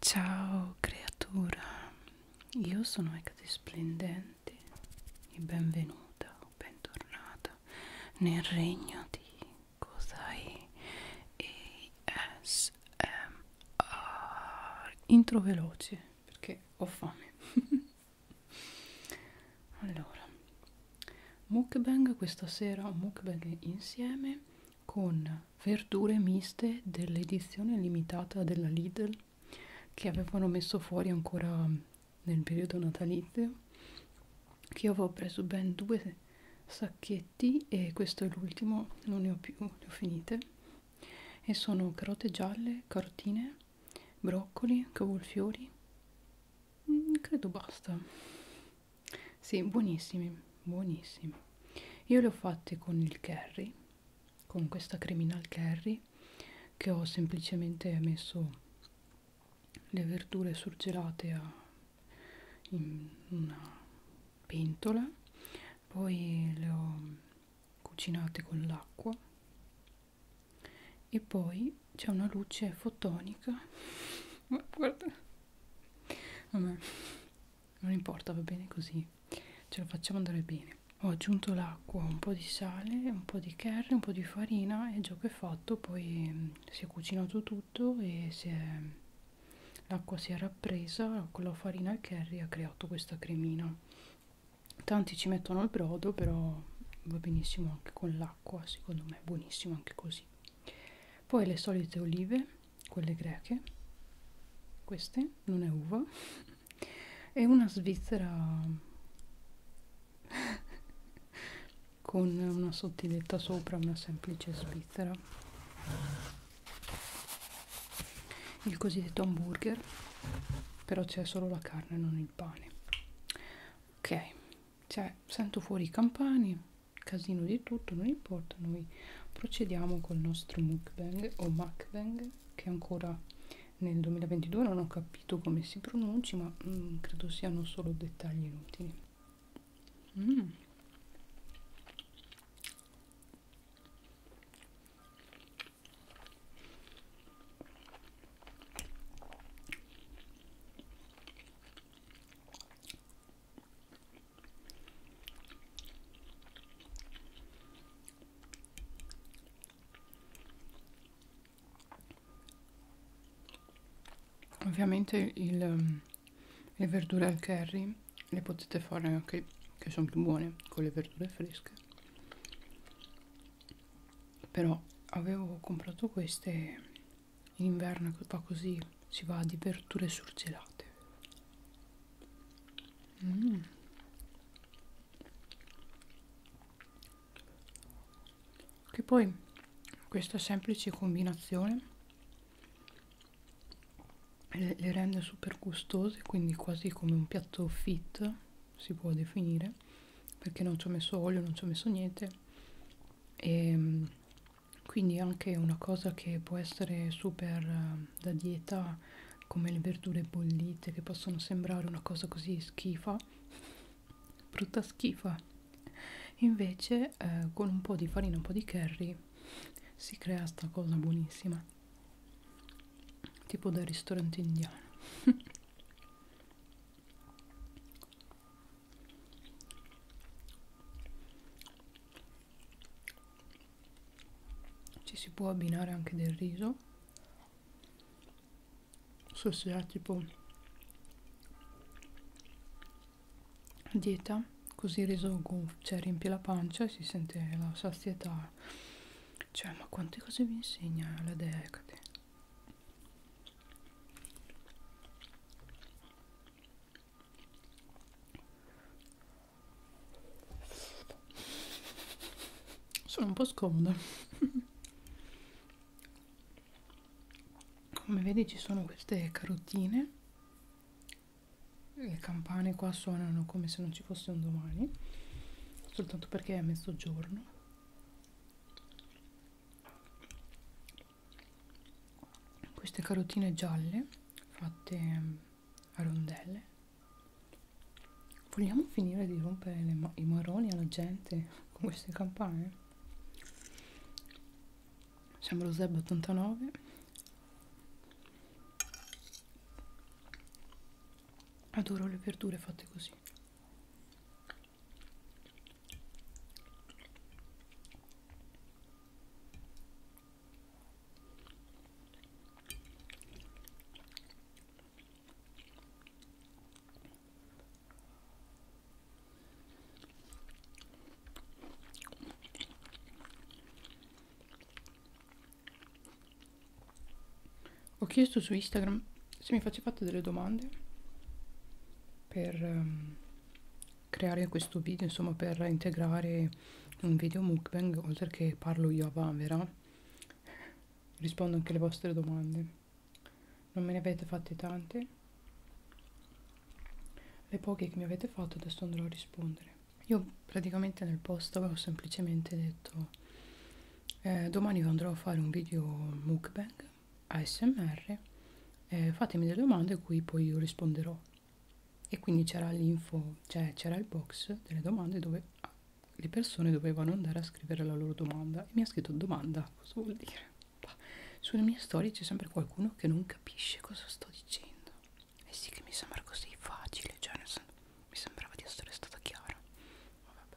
Ciao creatura, io sono Ecate Splendente e benvenuta o bentornata nel regno di Cosai ASMR Intro veloce perché ho fame Allora, mukbang questa sera, mukbang insieme con verdure miste dell'edizione limitata della Lidl che avevano messo fuori ancora nel periodo natalizio che io avevo preso ben due sacchetti e questo è l'ultimo non ne ho più le ho finite e sono carote gialle carotine broccoli cavolfiori mm, credo basta sì, buonissimi, buonissimi. Io li ho fatti con il curry, con questa criminal curry, che ho semplicemente messo le verdure surgelate a, in una pentola, poi le ho cucinate con l'acqua e poi c'è una luce fotonica. Guarda, vabbè, non importa va bene così ce la facciamo andare bene ho aggiunto l'acqua un po di sale un po di curry un po di farina e il gioco è fatto poi mm, si è cucinato tutto e l'acqua si è rappresa con la farina e il curry ha creato questa cremina tanti ci mettono il brodo però va benissimo anche con l'acqua secondo me è buonissimo anche così poi le solite olive quelle greche queste non è uva e una svizzera con una sottiletta sopra una semplice svizzera il cosiddetto hamburger però c'è solo la carne non il pane ok cioè sento fuori i campani casino di tutto non importa noi procediamo col nostro mukbang o mukbang che ancora nel 2022 non ho capito come si pronunci ma mm, credo siano solo dettagli inutili mm. Ovviamente il, ehm, le verdure al curry le potete fare anche che sono più buone con le verdure fresche. Però avevo comprato queste in inverno va così, si va di verdure surgelate. Mm. Che poi questa semplice combinazione le, le rende super gustose, quindi quasi come un piatto fit si può definire, perché non ci ho messo olio, non ci ho messo niente e ehm, quindi anche una cosa che può essere super eh, da dieta, come le verdure bollite, che possono sembrare una cosa così schifa, brutta schifa. Invece eh, con un po' di farina, un po' di curry si crea sta cosa buonissima, tipo da ristorante indiano. ci si può abbinare anche del riso non so se ha tipo dieta così il riso gonfio cioè riempie la pancia e si sente la sazietà cioè ma quante cose vi insegna la Decate sono un po' scomoda come vedi ci sono queste carotine le campane qua suonano come se non ci fosse un domani soltanto perché è mezzogiorno queste carotine gialle fatte mm, a rondelle vogliamo finire di rompere ma i maroni alla gente con queste campane sembra Zeb 89 adoro le verdure fatte così ho chiesto su Instagram se mi facevate delle domande per um, creare questo video insomma per integrare un video mukbang oltre che parlo io a Vanvera rispondo anche alle vostre domande non me ne avete fatte tante le poche che mi avete fatto adesso andrò a rispondere io praticamente nel post avevo semplicemente detto eh, domani andrò a fare un video mukbang ASMR, eh, fatemi delle domande a cui poi io risponderò. E quindi c'era l'info, cioè c'era il box delle domande dove ah, le persone dovevano andare a scrivere la loro domanda. E mi ha scritto domanda, cosa vuol dire? Sulle mie storie c'è sempre qualcuno che non capisce cosa sto dicendo. E eh sì che mi sembra così facile, cioè nel senso, mi sembrava di essere stata chiara. Vabbè.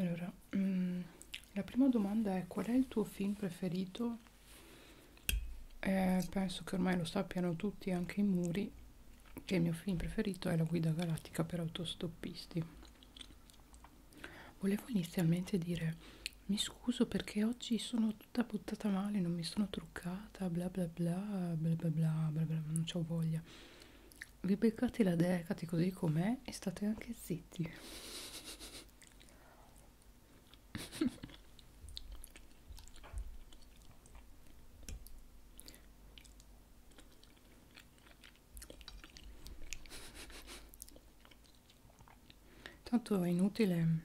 Allora, mm, la prima domanda è qual è il tuo film preferito? Eh, penso che ormai lo sappiano tutti, anche i muri, che il mio film preferito è La guida galattica per autostoppisti volevo inizialmente dire mi scuso perché oggi sono tutta buttata male non mi sono truccata bla bla bla bla bla bla bla, bla non ho voglia vi beccate la decati così com'è e state anche zitti Tanto è inutile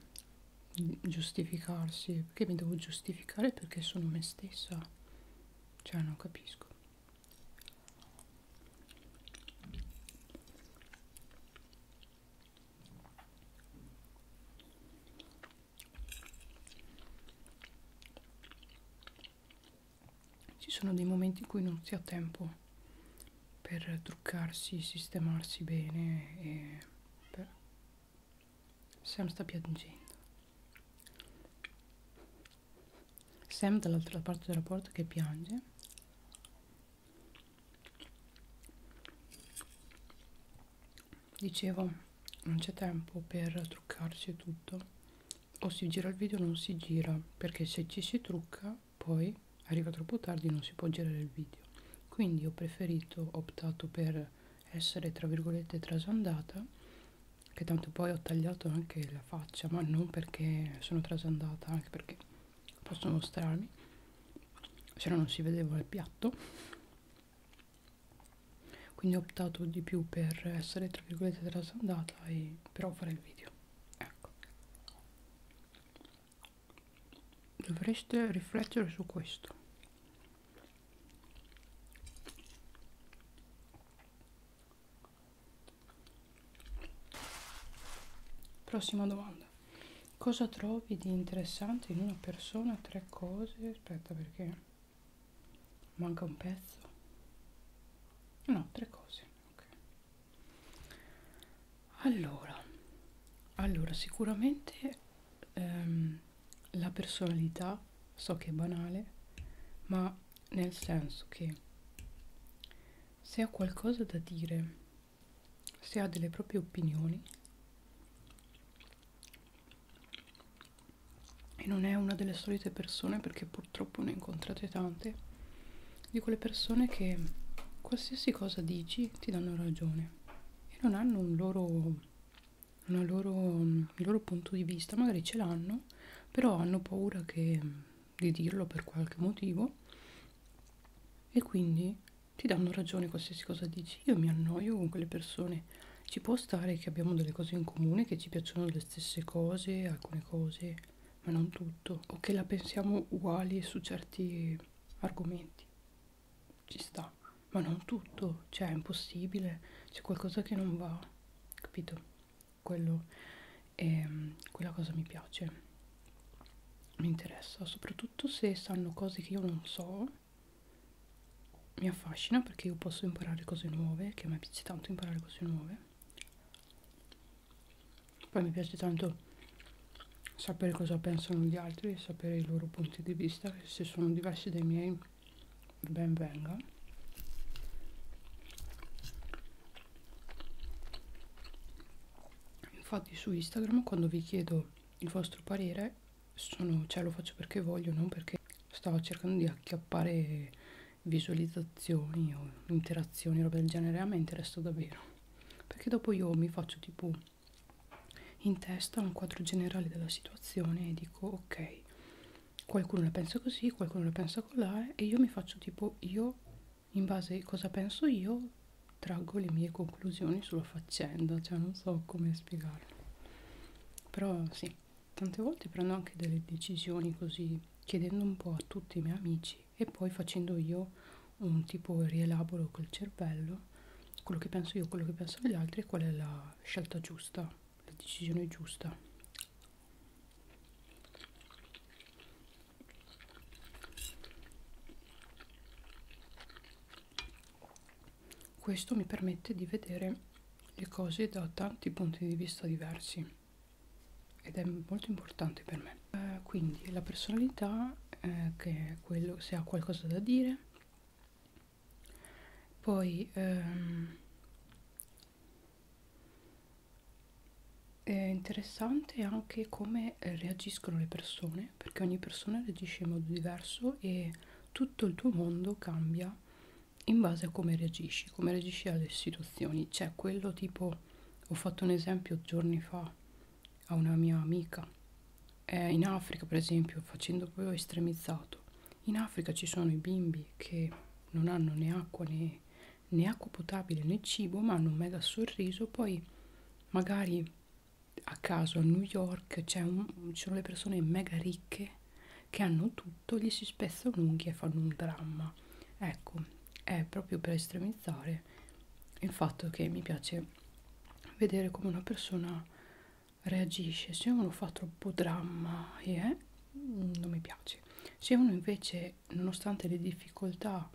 giustificarsi, perché mi devo giustificare perché sono me stessa. Cioè, non capisco ci sono dei momenti in cui non si ha tempo per truccarsi, sistemarsi bene e per... Sam sta piangendo. Sam dall'altra parte della porta che piange. Dicevo, non c'è tempo per truccarsi e tutto o si gira il video o non si gira perché se ci si trucca poi arriva troppo tardi e non si può girare il video quindi ho preferito ho optato per essere tra virgolette trasandata che tanto poi ho tagliato anche la faccia ma non perché sono trasandata anche perché posso mostrarmi se no non si vedeva il piatto quindi ho optato di più per essere tra virgolette trasandata e però fare il video ecco dovreste riflettere su questo prossima domanda cosa trovi di interessante in una persona tre cose aspetta perché manca un pezzo no tre cose okay. allora, allora sicuramente ehm, la personalità so che è banale ma nel senso che se ha qualcosa da dire se ha delle proprie opinioni e non è una delle solite persone perché purtroppo ne ho incontrate tante, di quelle persone che qualsiasi cosa dici ti danno ragione e non hanno un loro, una loro, un loro punto di vista, magari ce l'hanno, però hanno paura che, di dirlo per qualche motivo e quindi ti danno ragione qualsiasi cosa dici. Io mi annoio con quelle persone. Ci può stare che abbiamo delle cose in comune, che ci piacciono le stesse cose, alcune cose, ma non tutto, o che la pensiamo uguali su certi argomenti. Ci sta, ma non tutto, cioè è impossibile, c'è qualcosa che non va, capito? Quello è, quella cosa mi piace, mi interessa, soprattutto se sanno cose che io non so. Mi affascina perché io posso imparare cose nuove, che a me piace tanto imparare cose nuove. Poi mi piace tanto sapere cosa pensano gli altri, sapere i loro punti di vista, che se sono diversi dai miei ben venga. Infatti su Instagram quando vi chiedo il vostro parere, sono, cioè lo faccio perché voglio, non perché stavo cercando di acchiappare visualizzazioni o interazioni, roba del genere, a me interessa davvero, perché dopo io mi faccio tipo in testa un quadro generale della situazione e dico ok, qualcuno la pensa così, qualcuno la pensa colà e io mi faccio tipo io, in base a cosa penso io, traggo le mie conclusioni sulla faccenda, cioè non so come spiegarlo, però sì tante volte prendo anche delle decisioni così chiedendo un po' a tutti i miei amici e poi facendo io un tipo rielaboro col cervello quello che penso io, quello che pensano gli altri e qual è la scelta giusta, la decisione giusta. Questo mi permette di vedere le cose da tanti punti di vista diversi ed è molto importante per me eh, quindi la personalità eh, che è quello se ha qualcosa da dire poi ehm, è interessante anche come reagiscono le persone perché ogni persona reagisce in modo diverso e tutto il tuo mondo cambia in base a come reagisci, come reagisci alle situazioni. C'è quello tipo, ho fatto un esempio giorni fa a una mia amica, eh, in Africa per esempio, facendo proprio estremizzato, in Africa ci sono i bimbi che non hanno né acqua né, né acqua potabile né cibo, ma hanno un mega sorriso, poi magari a caso a New York ci sono le persone mega ricche che hanno tutto, gli si spezza un'unghia e fanno un dramma. Ecco, è proprio per estremizzare il fatto che mi piace vedere come una persona reagisce. Se uno fa troppo dramma, e yeah, non mi piace. Se uno invece, nonostante le difficoltà,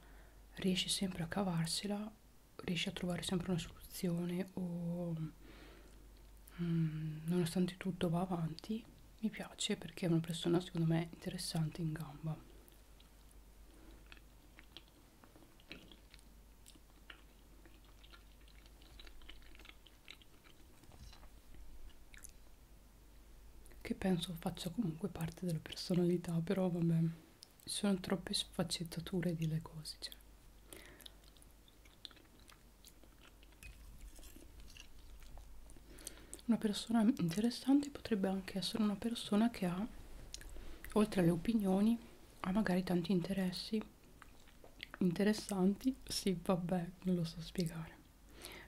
riesce sempre a cavarsela, riesce a trovare sempre una soluzione o mm, nonostante tutto va avanti, mi piace perché è una persona secondo me interessante in gamba che penso faccia comunque parte della personalità però vabbè ci sono troppe sfaccettature di le cose cioè. Una persona interessante potrebbe anche essere una persona che ha, oltre alle opinioni, ha magari tanti interessi interessanti. Sì, vabbè, non lo so spiegare.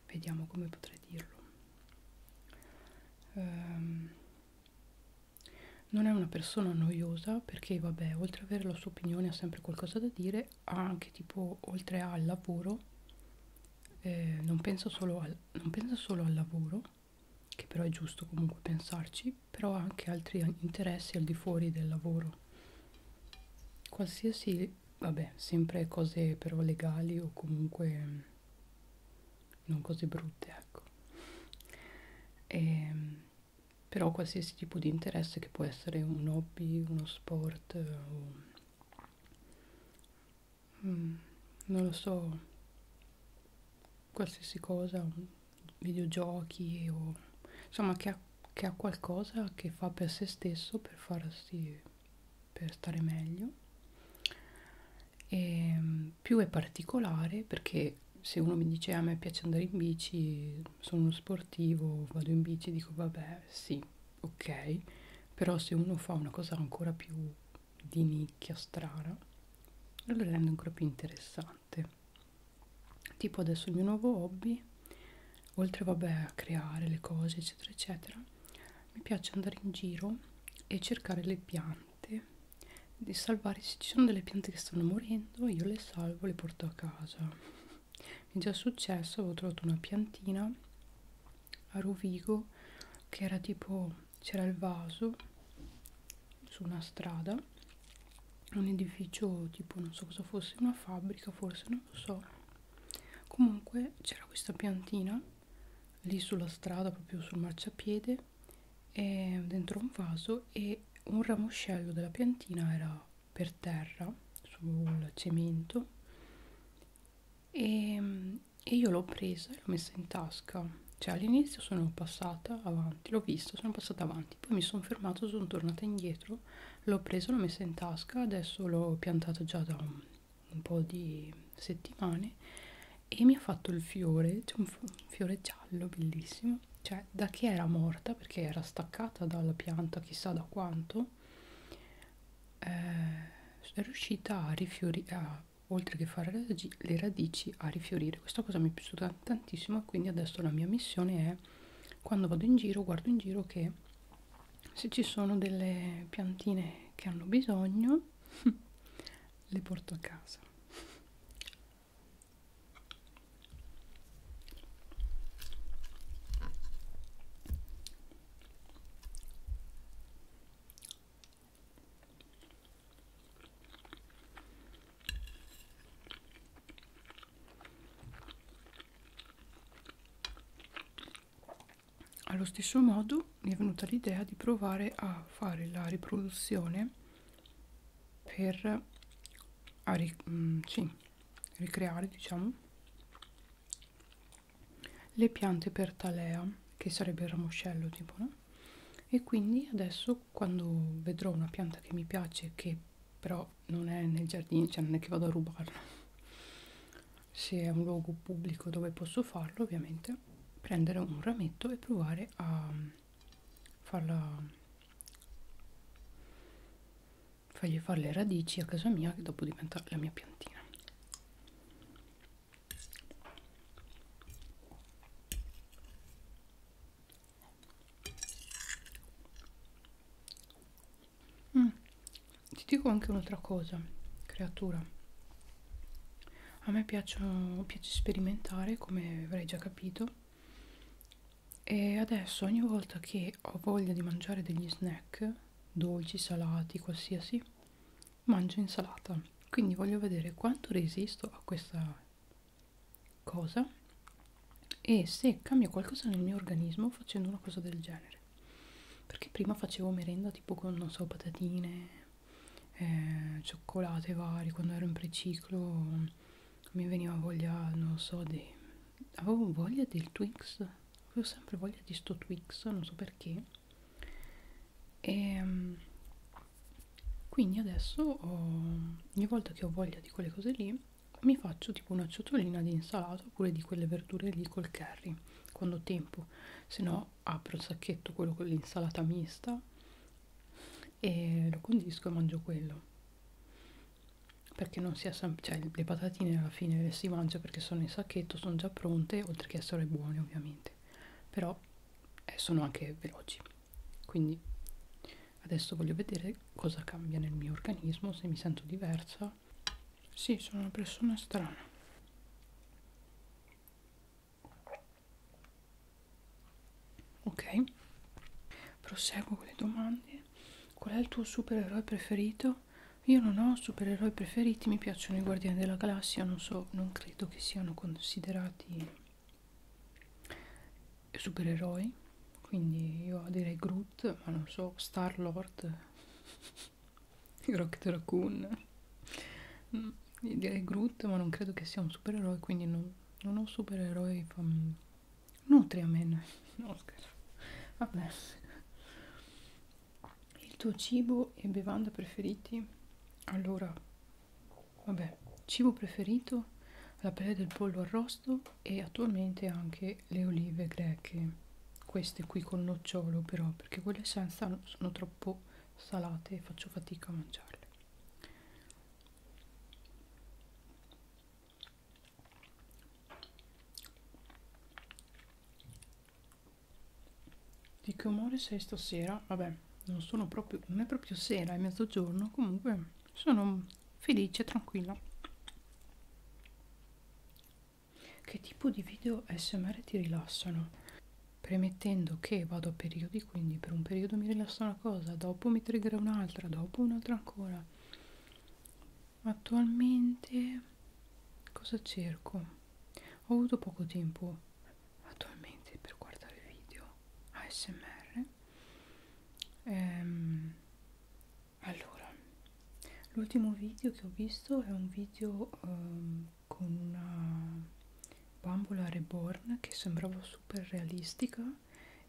Vediamo come potrei dirlo. Um, non è una persona noiosa perché, vabbè, oltre ad avere la sua opinione ha sempre qualcosa da dire volte anche tipo oltre al lavoro eh, non, penso solo al, non penso solo al lavoro che però è giusto comunque pensarci però anche altri interessi al di fuori del lavoro qualsiasi vabbè sempre cose però legali o comunque non cose brutte ecco e, ehm, però qualsiasi tipo di interesse che può essere un hobby, uno sport, eh, o, mm, non lo so, qualsiasi cosa, videogiochi o insomma che ha, che ha qualcosa che fa per se stesso per farsi, per stare meglio. E ehm, più è particolare perché se uno mi dice ah, a me piace andare in bici sono uno sportivo, vado in bici, dico vabbè sì, ok, però se uno fa una cosa ancora più di nicchia strana, lo rende ancora più interessante. Tipo adesso il mio nuovo hobby, oltre vabbè a creare le cose eccetera eccetera, mi piace andare in giro e cercare le piante di salvare se ci sono delle piante che stanno morendo io le salvo le porto a casa mi è già successo avevo trovato una piantina a Rovigo che era tipo c'era il vaso su una strada un edificio tipo non so cosa fosse una fabbrica forse non lo so comunque c'era questa piantina lì sulla strada proprio sul marciapiede e dentro un vaso e un ramoscello della piantina era per terra sul cemento e, e io l'ho presa e l'ho messa in tasca cioè all'inizio sono passata avanti l'ho vista sono passata avanti poi mi sono fermata sono tornata indietro l'ho presa l'ho messa in tasca adesso l'ho piantata già da un, un po di settimane e mi ha fatto il fiore c'è cioè un fiore giallo bellissimo cioè da che era morta perché era staccata dalla pianta chissà da quanto eh, è riuscita a rifiorire a, oltre che fare le, le radici a rifiorire questa cosa mi è piaciuta tantissimo quindi adesso la mia missione è quando vado in giro guardo in giro che se ci sono delle piantine che hanno bisogno le porto a casa allo stesso modo mi è venuta l'idea di provare a fare la riproduzione per a, mm, sì, ricreare diciamo le piante per talea che sarebbe il ramoscello tipo no? e quindi adesso quando vedrò una pianta che mi piace che però non è nel giardino cioè non è che vado a rubarla se è un luogo pubblico dove posso farlo ovviamente prendere un rametto e provare a farla fargli fare le radici a casa mia che dopo diventa la mia piantina mm. ti dico anche un'altra cosa creatura a me piace, piace sperimentare come avrei già capito e adesso ogni volta che ho voglia di mangiare degli snack dolci, salati, qualsiasi mangio insalata quindi voglio vedere quanto resisto a questa cosa e se cambia qualcosa nel mio organismo facendo una cosa del genere perché prima facevo merenda tipo con non so patatine eh, cioccolate vari quando ero in preciclo mi veniva voglia, non so, di... avevo voglia del Twix, avevo sempre voglia di sto Twix, non so perché. E ehm, quindi adesso ho, ogni volta che ho voglia di quelle cose lì mi faccio tipo una ciotolina di insalata oppure di quelle verdure lì col curry quando ho tempo se no apro il sacchetto quello con l'insalata mista e lo condisco e mangio quello perché non sia sempre cioè le patatine alla fine le si mangia perché sono in sacchetto sono già pronte oltre che essere buone ovviamente però eh, sono anche veloci quindi adesso voglio vedere cosa cambia nel mio organismo se mi sento diversa sì sono una persona strana Ok, proseguo con le domande. Qual è il tuo supereroe preferito? Io non ho supereroi preferiti, mi piacciono i Guardiani della Galassia, non so, non credo che siano considerati supereroi, quindi io direi Groot, ma non so, Star Lord, Rocket Raccoon, mm, direi Groot, ma non credo che sia un supereroe, quindi non, non ho supereroi famosi Nutriamen, Oscar. Vabbè. Il tuo cibo e bevanda preferiti? Allora, vabbè, cibo preferito? La pelle del pollo arrosto e attualmente anche le olive greche. Queste qui con nocciolo però, perché quelle senza sono troppo salate e faccio fatica a mangiarle. Di che umore sei stasera? Vabbè, non sono proprio, non è proprio sera, è mezzogiorno, comunque sono felice, tranquilla. Che tipo di video SMR ti rilassano? Premettendo che vado a periodi, quindi per un periodo mi rilassa una cosa, dopo mi triggerà un'altra un'altra, dopo un'altra ancora. Attualmente cosa cerco? Ho avuto poco tempo attualmente per guardare video ASMR. Ehm, allora, l'ultimo video che ho visto è un video um, con una bambola reborn che sembrava super realistica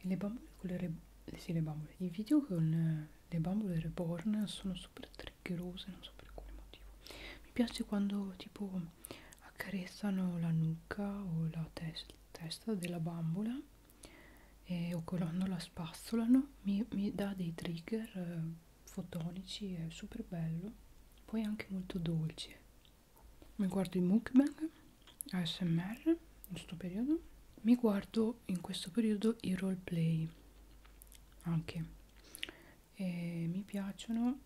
e le bambole con le, re sì, le bambole i video con eh, le bambole reborn sono super triggerose non so per quale motivo mi piace quando tipo accarezzano la nuca o la tes testa della bambola e, o quando la spazzolano mi, mi dà dei trigger eh, fotonici è super bello poi anche molto dolce mi guardo i mukbang ASMR in questo periodo mi guardo in questo periodo i roleplay anche e mi piacciono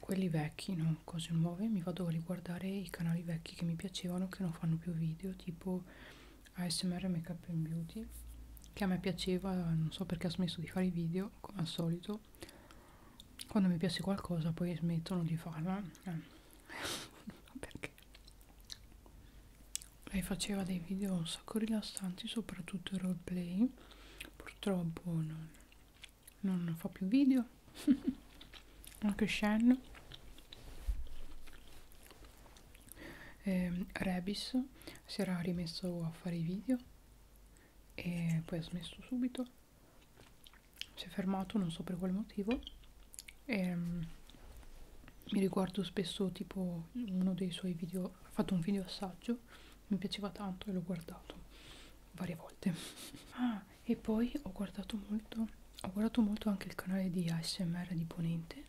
quelli vecchi no cose nuove mi vado a riguardare i canali vecchi che mi piacevano che non fanno più video tipo ASMR Makeup and Beauty che a me piaceva non so perché ha smesso di fare i video come al solito quando mi piace qualcosa poi smettono di farla eh perché lei faceva dei video un sacco rilassanti soprattutto il roleplay purtroppo non, non fa più video anche Shen e, ehm, Rebis si era rimesso a fare i video e poi ha smesso subito si è fermato non so per quale motivo e um, mi riguardo spesso tipo uno dei suoi video ha fatto un video assaggio mi piaceva tanto e l'ho guardato varie volte ah e poi ho guardato molto ho guardato molto anche il canale di ASMR di Ponente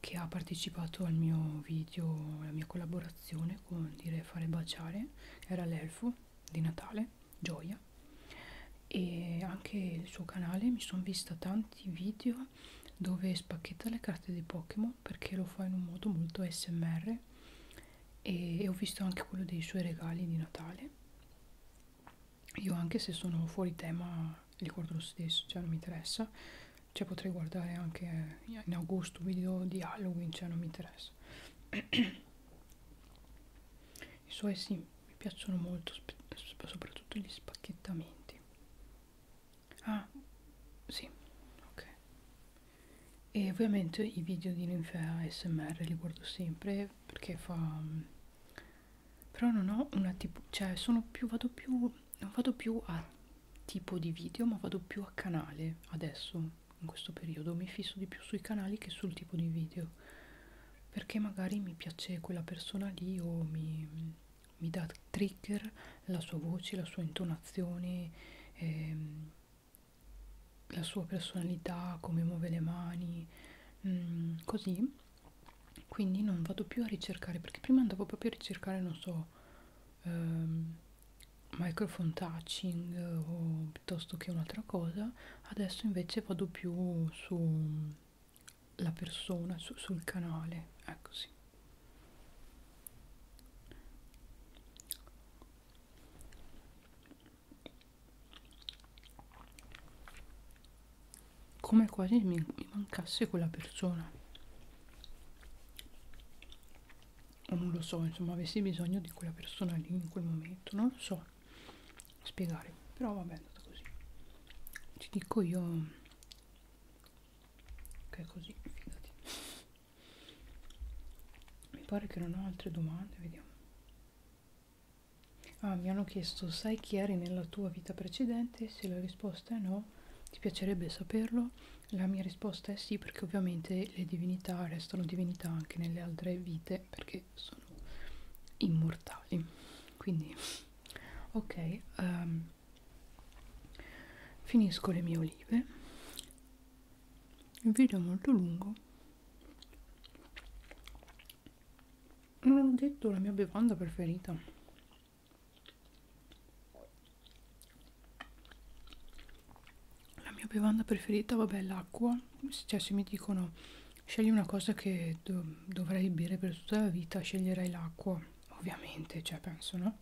che ha partecipato al mio video alla mia collaborazione con dire fare baciare era l'elfo di Natale gioia e anche il suo canale mi sono vista tanti video dove spacchetta le carte dei Pokémon perché lo fa in un modo molto smr e, e ho visto anche quello dei suoi regali di Natale io anche se sono fuori tema li guardo lo stesso cioè non mi interessa cioè potrei guardare anche in agosto un video di Halloween cioè non mi interessa i suoi sì mi piacciono molto soprattutto gli spacchettamenti ah sì ok e ovviamente i video di ninfea smr li guardo sempre perché fa però non ho una tipo cioè sono più vado più non vado più a tipo di video ma vado più a canale adesso in questo periodo mi fisso di più sui canali che sul tipo di video perché magari mi piace quella persona lì o mi, mi dà trigger la sua voce, la sua intonazione, ehm, la sua personalità, come muove le mani, mm, così. Quindi non vado più a ricercare perché prima andavo proprio a ricercare, non so, ehm, microphone touching o piuttosto che un'altra cosa adesso invece vado più sulla persona su, sul canale ecco sì come quasi mi, mi mancasse quella persona o non lo so, insomma, avessi bisogno di quella persona lì in quel momento, non lo so spiegare, però vabbè è andata così. Ti dico io che è così, fidati. Mi pare che non ho altre domande, vediamo. Ah, mi hanno chiesto, sai chi eri nella tua vita precedente? Se la risposta è no, ti piacerebbe saperlo? La mia risposta è sì, perché ovviamente le divinità, restano divinità anche nelle altre vite perché sono immortali quindi ok um, finisco le mie olive il video è molto lungo non ho detto la mia bevanda preferita la mia bevanda preferita vabbè l'acqua cioè se mi dicono scegli una cosa che do dovrei bere per tutta la vita sceglierei l'acqua ovviamente cioè penso no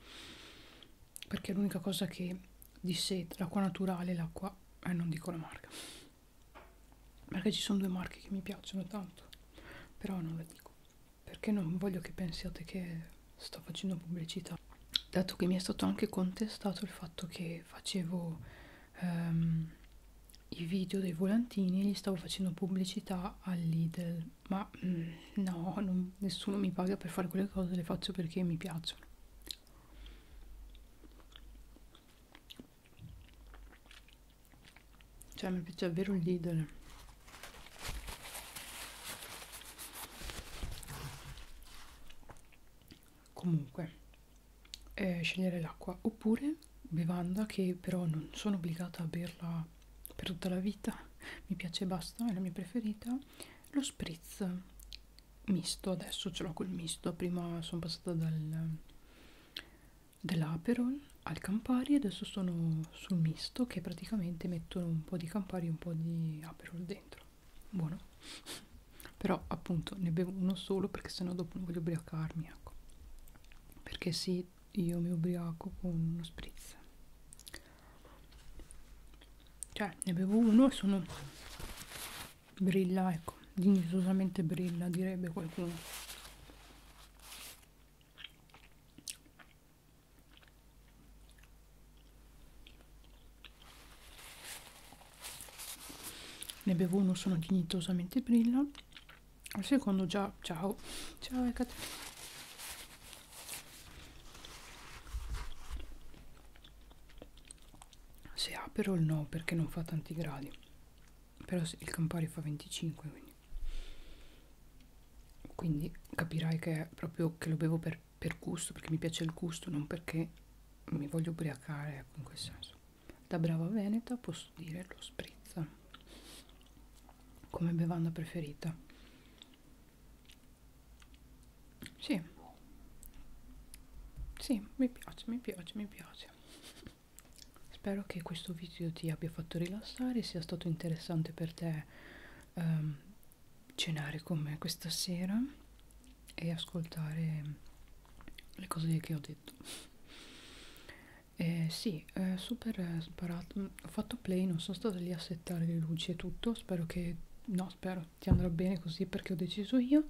perché è l'unica cosa che di sé l'acqua naturale l'acqua eh non dico la marca perché ci sono due marche che mi piacciono tanto però non la dico perché non voglio che pensiate che sto facendo pubblicità volta dato che mi è stato anche contestato il fatto che facevo um, i video dei volantini e gli stavo facendo pubblicità all'Idel ma mm, no, non, nessuno mi paga per fare quelle cose, le faccio perché mi piacciono cioè mi piace davvero l'Idel comunque eh, scegliere l'acqua oppure bevanda che però non sono obbligata a berla per tutta la vita mi piace e basta è la mia preferita lo spritz misto adesso ce l'ho col misto prima sono passata dal dell'aperol al campari adesso sono sul misto che praticamente mettono un po' di campari e un po' di aperol dentro buono però appunto ne bevo uno solo perché sennò dopo non voglio ubriacarmi ecco perché sì io mi ubriaco con uno spritz cioè ne bevo uno e sono brilla ecco dignitosamente brilla direbbe qualcuno ne bevo uno sono dignitosamente brilla al secondo già ciao ciao Ecat se aperol no perché non fa tanti gradi però il Campari fa 25 quindi quindi capirai che è proprio che lo bevo per per, per gusto, perché mi piace il gusto, non perché mi voglio ubriacare, ecco, in quel senso. Da brava veneta posso dire lo spritz come bevanda preferita. Sì, sì, mi piace, mi piace, mi piace. Spero che questo video ti abbia fatto rilassare, sia stato interessante per te ehm, cenare con me questa sera e ascoltare le cose che ho detto eh, sì, eh, super sparato mm, ho fatto play, non sono stata lì a settare le luci e tutto spero che, no spero, ti andrà bene così perché ho deciso io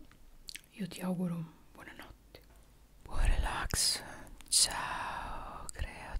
io ti auguro buonanotte buon relax ciao creatura